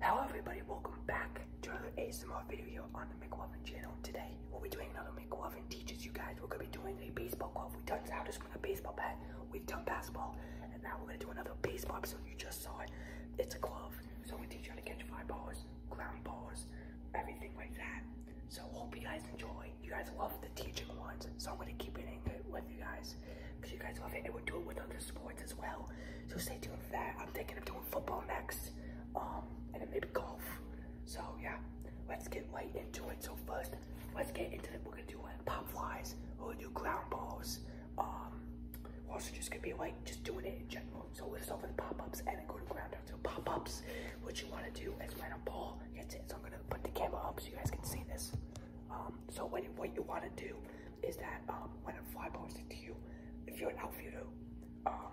Hello everybody, welcome back to another ASMR video on the McLovin channel. Today, we'll be doing another McLovin teaches you guys. We're gonna be doing a baseball glove. We've done how to swing a baseball bat, we've done basketball, and now we're gonna do another baseball So You just saw it. It's a glove. So we teach you how to catch fly balls, ground balls, everything like that. So hope you guys enjoy. You guys love the teaching ones, so I'm gonna keep it in with you guys because you guys love it and we'll do it with other sports as well. So stay tuned for that. I'm thinking of doing football next um, and then maybe golf. So yeah, let's get right into it. So first, let's get into it. We're gonna do like uh, pop flies, we're do ground balls. Um, also just gonna be like just doing it in general. So we'll start with pop-ups and then go to ground down. So pop-ups, what you wanna do is when a ball hits it, so I'm gonna put the camera up so you guys can see this. Um, so what what you wanna do is that um, when a fly posts it to you, if you're an outfielder, um,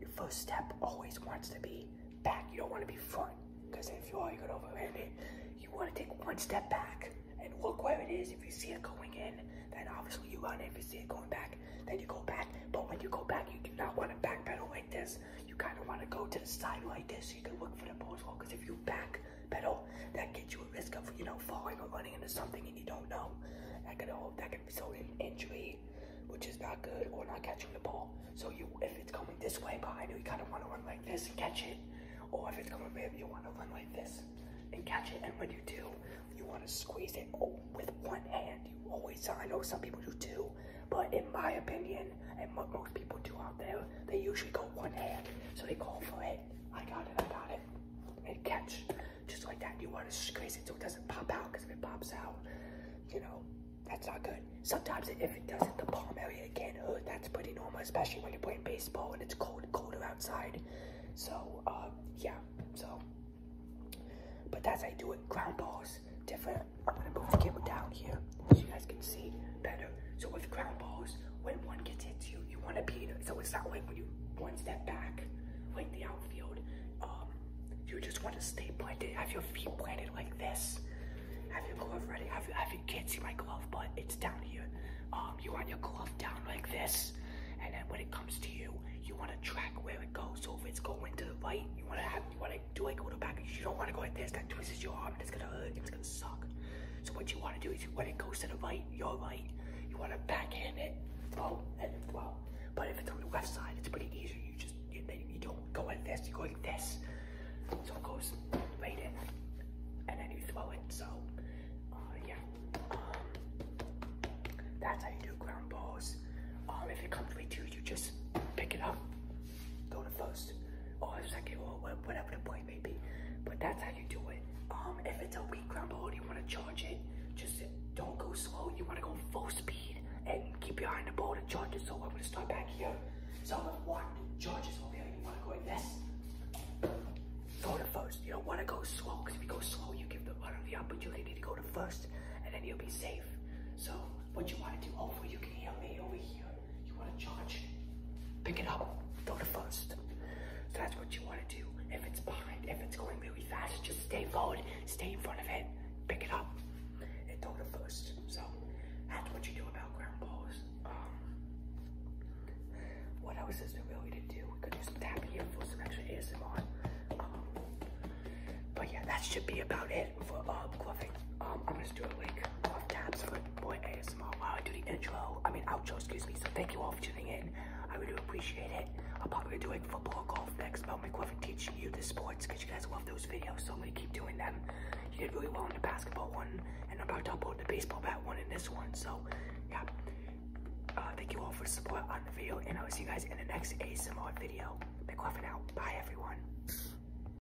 your first step always wants to be back. You don't want to be front because if you are, you gonna overhand it. You want to take one step back and look where it is. If you see it going in, then obviously you run. If you see it going back, then you go back. But when you go back, you do not want to backpedal like this. You kind of want to go to the side like this so you can look for the post roll. Because if you back pedal that gets you a risk of, you know, falling or running into something and you don't know. That could, uh, that could result in injury, which is not good, or not catching the ball. So you, if it's coming this way behind you, you kind of want to run like this and catch it. Or if it's coming maybe you want to run like this and catch it. And when you do, you want to squeeze it with one hand. You always, I know some people do too, but in my opinion, and what most people do out there, they usually go one hand, so they call for it. I got it, I got it. And catch, just like that. You want to squeeze it so it doesn't pop out, because if it pops out, you know, that's not good. Sometimes if it does not the palm area, can hurt. That's pretty normal, especially when you're playing baseball and it's cold, colder outside. So, um, yeah, so. But that's how you do it. Ground balls, different. I'm going to move the camera down here so you guys can see better. So with ground balls, when one gets into you, you want to be, so it's not like when you one step back, like the outfield, um, you just want to stay planted, have your feet planted like this. Have your glove ready, have, have you can't see my glove, but it's down here. Um, you want your glove down like this, and then when it comes to you, you want to track where it goes. So if it's going to the right, you want to have, you want to do like a little back. You don't want to go like this. That twists your arm. it's gonna hurt. It's gonna suck. So what you want to do is when it goes to the right, you're right, you want to backhand it, throw, and throw. But if it's on the left side, it's pretty easy. You just, you, you don't go like this, you go like this. So it goes right in, and then you throw it. So, uh, yeah. Um, that's how you do ground balls. Um, if it comes right to you, you just pick it up, go to first, or second, or whatever the play family, But that's how you do it. Um, if it's a weak ground below, you want to charge it. Just don't go slow. You want to go full speed and keep your eye on the ball to charge it. So I'm gonna start back here. So if one charges over here, you want to go like this. Go to first. You don't want to go slow because if you go slow, you give the runner uh, the opportunity to go to first, and then you'll be safe. So what you want to do? Over? Oh, you can hear me over here you want to charge, pick it up, throw to first. So that's what you want to do. If it's behind, if it's going really fast, just stay forward, stay in front of it, pick it up, and throw to first. So that's what you do about ground balls. Um, what else is there really to do? We could do some tapping here for some extra ASMR. Um, but yeah, that should be about it for uh, gloving. Um, I'm just doing like glove taps for Boy ASMR while I do the intro, I mean outro, excuse me. So thank you all for tuning in. I really appreciate it. I'll probably be doing football, golf next, Mel McQuiffin teaching you the sports because you guys love those videos, so I'm gonna keep doing them. You did really well in the basketball one, and I'm about to upload the baseball bat one and this one. So yeah, uh, thank you all for support on the video, and I'll see you guys in the next ASMR video. McQuiffin out. Bye everyone.